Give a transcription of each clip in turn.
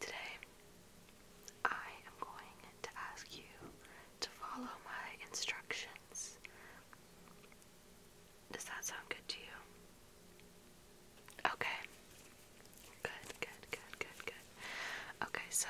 Today, I am going to ask you to follow my instructions. Does that sound good to you? Okay. Good, good, good, good, good. Okay, so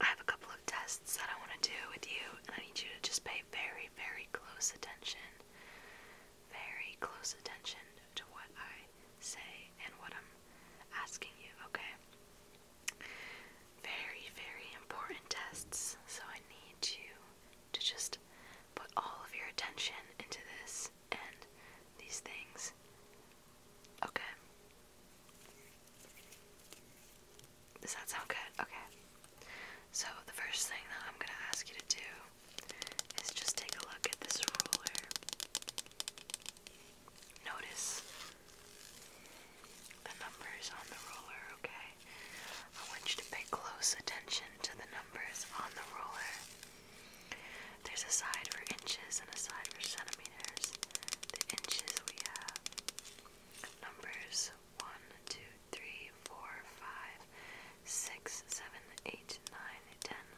I have a couple of tests that I want to do with you, and I need you to just pay very, very close attention very close attention to what I say and what I'm asking you, okay? Very, very important tests, so I need you to just put all of your attention into this and these things, okay? Does that sound good? Okay. So, the first thing that I'm going to ask you to do is just take a look at this ruler. Notice the numbers on the ruler, okay? I want you to pay close attention to the numbers on the ruler. There's a side for inches and a side for centimeters. The inches we have numbers 1,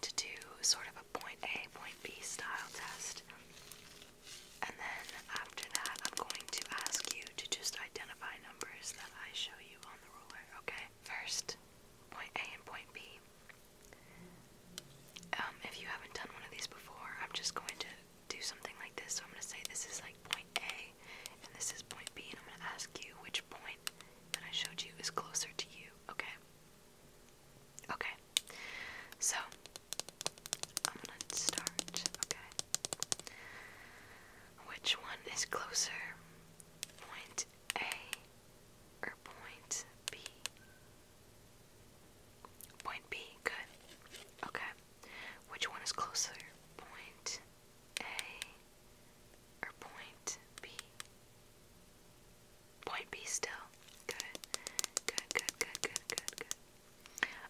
to do sort of a point A, point B style test. And then after that, I'm going to ask you to just identify numbers that I show you on the ruler, okay? First, point A and point B. Um, if you haven't done one of these before, I'm just going to do something like this. So I'm going to say this is like point A and this is point B, and I'm going to ask you which point that I showed you is closer to you, okay? Okay, so I'm gonna start. Okay, which one is closer, point A or point B? Point B, good. Okay, which one is closer, point A or point B? Point B still. Good. Good, good, good, good, good, good.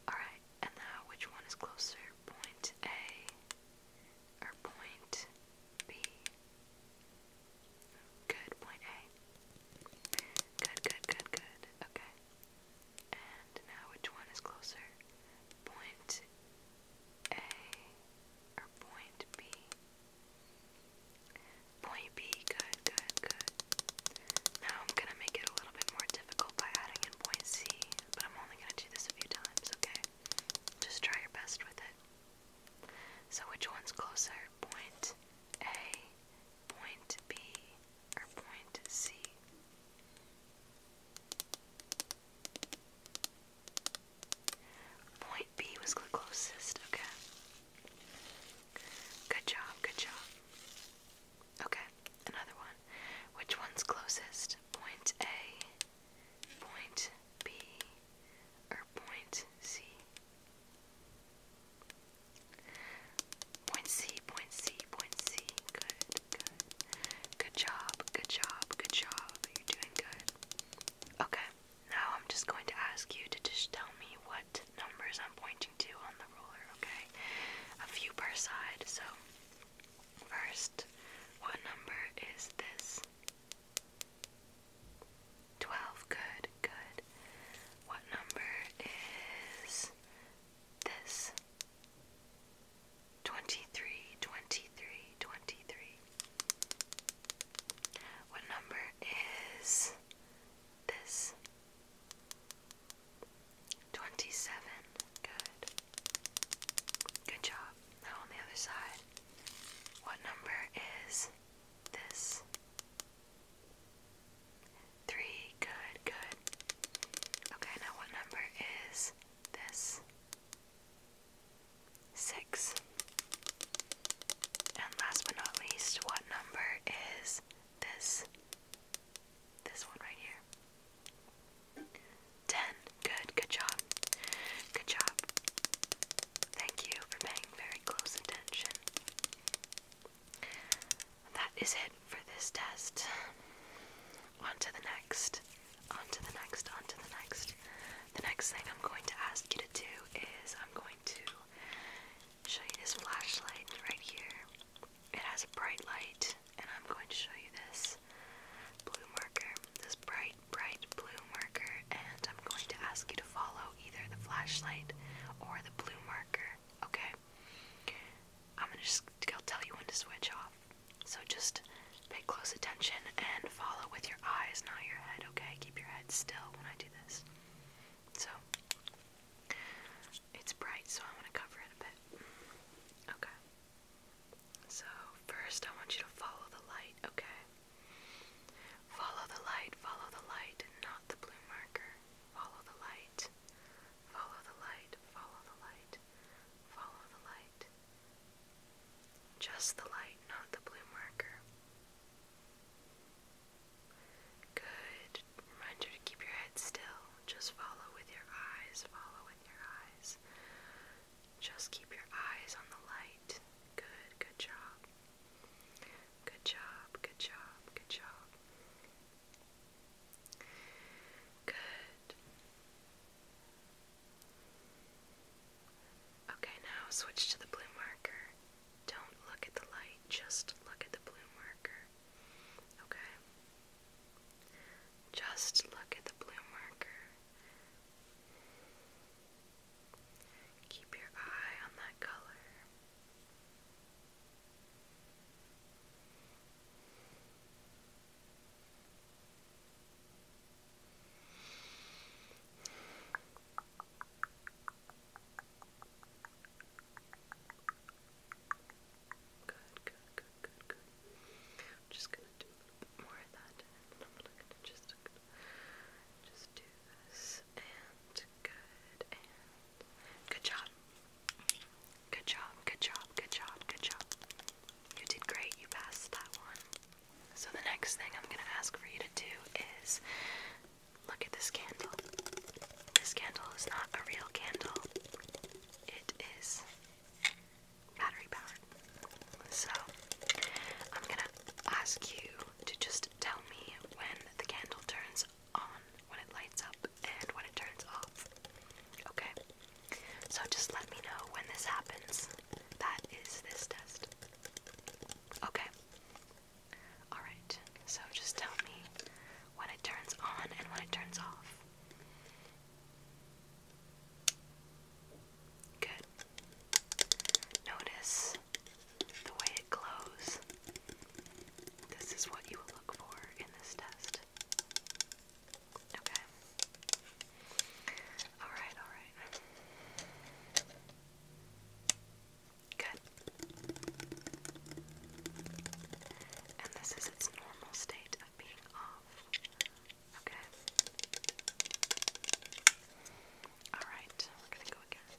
Alright, and now which one is closer? Point A or point B? Good, point A. Good, good, good, good. Okay. And now which one is closer? Point A or point B? Point B, good, good, good. Now I'm gonna make it a little bit more difficult by adding in point C, but I'm only gonna do this a few times, okay? Just try your best with it. So which one's closer? Point A, point B, or point C? Point B was the closest, okay. Good job, good job. Okay, another one. Which one's closest? Point A, point B, or point C? Point C, point C, point C. Good, good. Good job, good job, good job. You're doing good. Okay. Now I'm just going to ask you to just tell me what numbers I'm pointing to on the ruler, okay? A few per side. So, first, what number is this? 12. Good, good. What number is this? 23, 23, 23. What number is this? 27. Good. Good job. Now on the other side. What number is this? 3. Good, good. Okay, now what number is this? Six. And last but not least, what number is this? This one right here. Ten. Good, good job. Good job. Thank you for paying very close attention. That is it for this test. On to the next on to the next, on to the next. The next thing I'm going to ask you to do is I'm going to show you this flashlight right here. It has a bright light, and I'm going to show you this blue marker, this bright, bright blue marker, and I'm going to ask you to follow either the flashlight or the blue marker, okay? I'm gonna just tell you when to switch off. So just pay close attention and follow with your eyes, not your head, okay? Keep your head still when I do this. So it's bright, so I want to cover it a bit. Okay. So first I want you to follow the light, okay? Follow the light, follow the light, not the blue marker. Follow the light. Follow the light, follow the light, follow the light, just the light, not the blue marker. Good. Reminder to keep your head still. Just follow with your eyes. Follow with your eyes. Just keep your eyes on the light. Good, good job. Good job, good job, good job. Good. Okay, now switch to the blue marker. Don't look at the light, just look at the blue marker. Okay? Just look at the blue marker. Keep your eye on that color. Good, good, good, good, good. just gonna do more of that, just, just do this, and good, and good job. Good job, good job, good job, good job. You did great. You passed that one. So the next thing I'm gonna ask for you to do is look at this candle. This candle is not a real candle. It is battery powered. So I'm gonna ask you to just tell me when the candle turns on, when it lights up, and when it turns off. Okay. So just let me know when this happens. That is this test. Okay. Alright, so just tell me when it turns on and when it turns off. Good. Notice the way it glows. This is what you look for in this test. Okay. Alright, alright. Good. And this is its normal state of being off. Okay. Alright, we're gonna go again.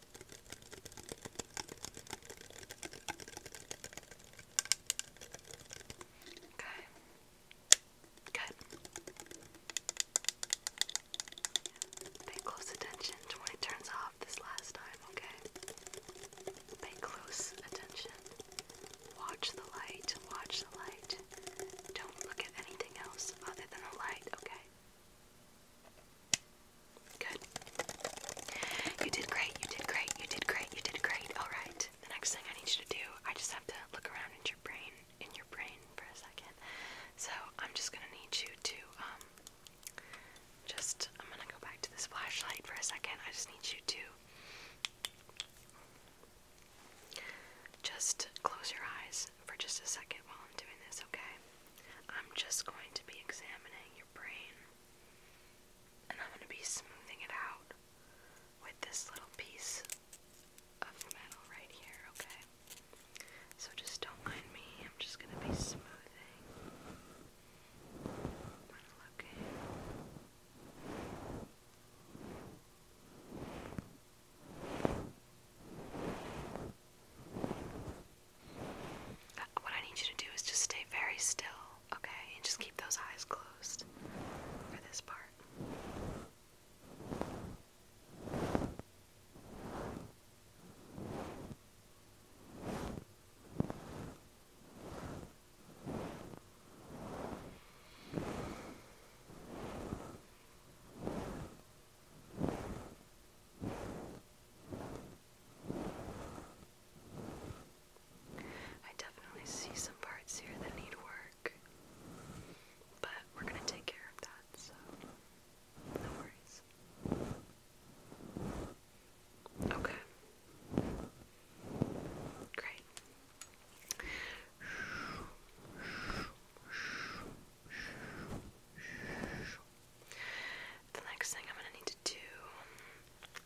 Okay. Good. Pay close attention to when it turns off this last time, okay? Pay close attention. Watch the light, watch the light. Don't look at anything else other than the light, okay? Good. You did great, you did great, you did great, you did great. Alright. The next thing I need you to do, I just have to look around in your brain in your brain for a second. So I'm just gonna need you to um, just I'm gonna go back to this flashlight for a second. I just need you to just close your eyes for just a second while I'm doing this, okay? I'm just going to be examining your brain and I'm going to be smoothing it out with this little piece of metal right here, okay? So just don't mind me, I'm just going to be smoothing. i what I need you to do is just stay very still, okay? And just keep those eyes closed for this part. I definitely see some parts here that need work, but we're going to take care of that, so no worries. Okay. Great. The next thing I'm gonna need to do.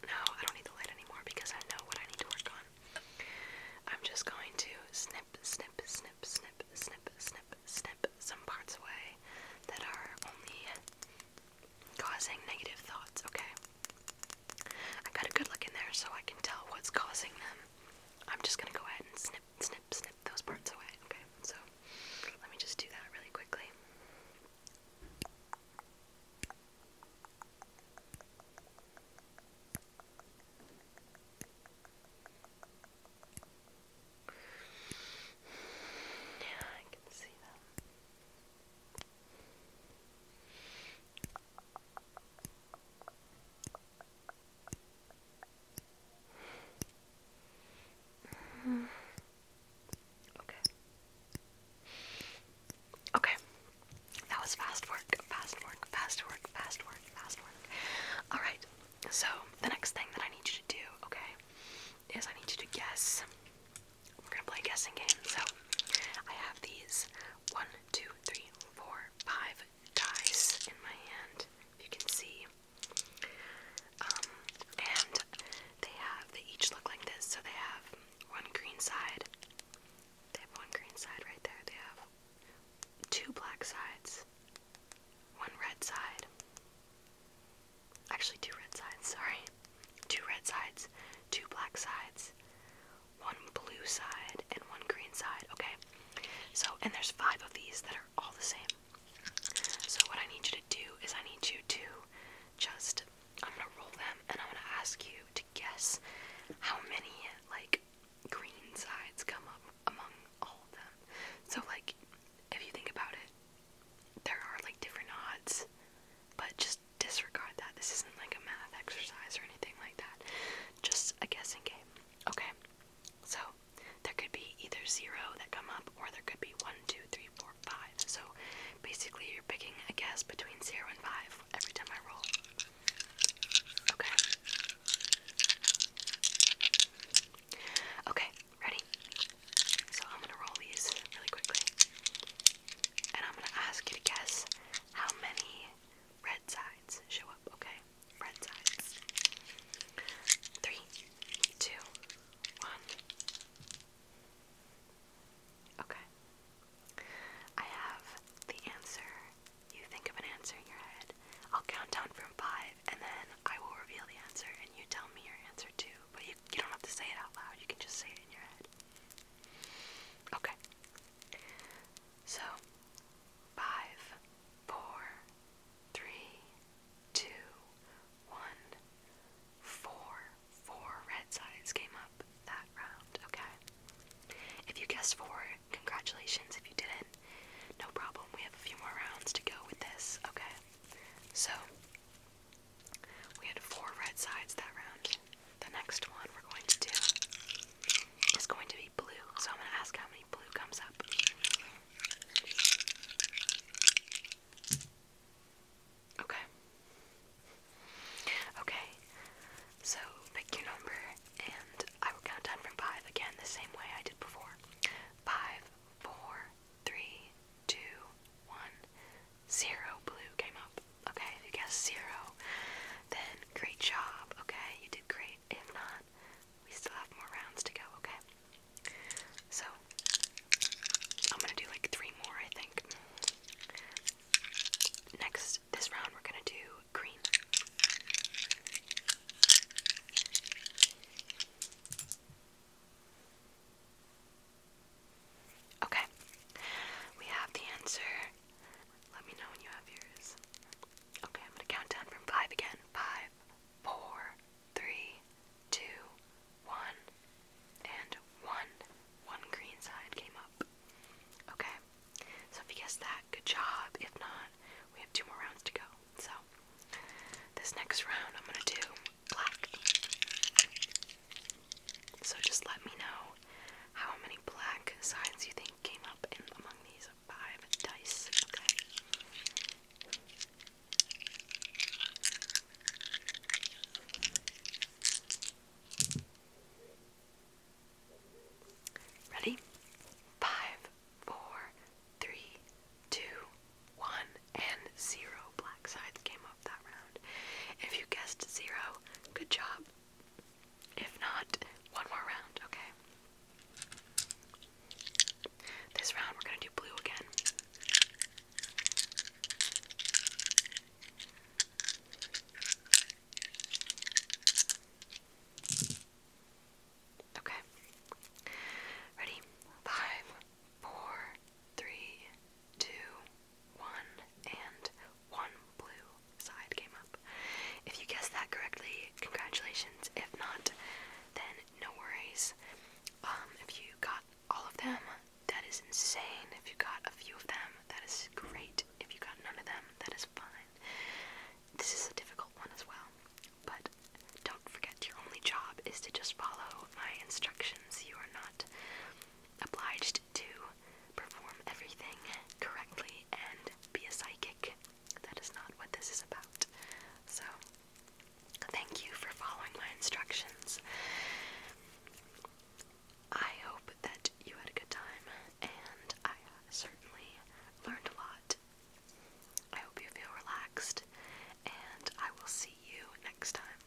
No, I don't need the light anymore because I know what I need to work on. I'm just going to snip, snip, snip, snip, snip, snip, snip some parts away that are only causing negative thoughts, okay? I got a good look in there so I can tell what's causing them. I'm just gonna go ahead and snip, snip, snip those parts away. Okay, so let me just do that really quickly. Yeah, I can see them. Okay. Okay. That was fast work, fast work, fast work, fast work, fast work. Alright, so the next thing that I need you to do, okay, is I need you to guess. We're gonna play a guessing game. So I have these one, two, three, four, five dies in my hand, if you can see. Um, and they have, they each look like this. So they have one green side, they have one green side right there, they have two black sides, one red side, actually, two red sides, sorry, two red sides, two black sides, one blue side, and one green side, okay? So, and there's five of these that are all the same. So, what I need you to do is I need you to just, I'm gonna roll them and I'm gonna ask you to guess how many, like, green sides come up among all of them. So, like, if you think about it, there are like different odds, but just disregard that. This isn't like a math exercise or anything like that. Just a guessing game. Okay, so there could be either zero that come up, or there could be one, two, three, four, five. So basically, you're picking a guess between zero and five every time I roll. Okay. Okay, ready? So I'm gonna roll these really quickly. And I'm gonna ask you to guess how many red side show up, okay? Three, two, one. Okay. I have the answer. You think of an answer in your head. I'll count down from five and then I will reveal the answer and you tell me your answer too. But you don't have to say it out loud, you can just say it in your head. Okay, so, five, four, three, two, one, four, four red sides came up that round, okay? If you guessed four, congratulations. If you didn't, no problem. We have a few more rounds to go with this, okay? So, we had four red sides that round the next one we're going to do is going to be blue. So I'm going to ask how many blue comes up. Okay. Okay. So pick your number and I will count down from five again the same way I did before. Five, four, three, two, one, zero blue came up okay? If you guessed zero, then great job, okay? You did great. If not, we still have more rounds to go, okay? So, I'm gonna do like three more, I think. Next, this round, we're gonna do green. Okay, we have the answer let me know when you have yours. Okay, I'm gonna count down from five again. Five, four, three, two, one, and one. One green side came up. Okay, so if you guessed that, good job. If not, we have two more rounds to go. So, this next round, I'm gonna do black. So just let me know how many black sides you think came up in among these five dice, okay? Ready? Five, four, three, two, one, and zero black sides came up that round. If you guessed zero, good job. If not, one more round, okay? This round we're gonna do blue again. Okay. Ready? Five, four, three, two, one, and one blue side came up. If you guessed that correctly, congratulations. If not, then no worries. Um, if you got all of them, that is insane. If you got a few of them, that is great. If you got none of them, that is fine. This is a difficult one as well, but don't forget your only job is to just follow my instructions. You are not obliged to perform everything correctly and be a psychic. That is not what this is about. So, thank you for following my instructions. I hope that you had a good time, and I certainly learned a lot. I hope you feel relaxed, and I will see you next time.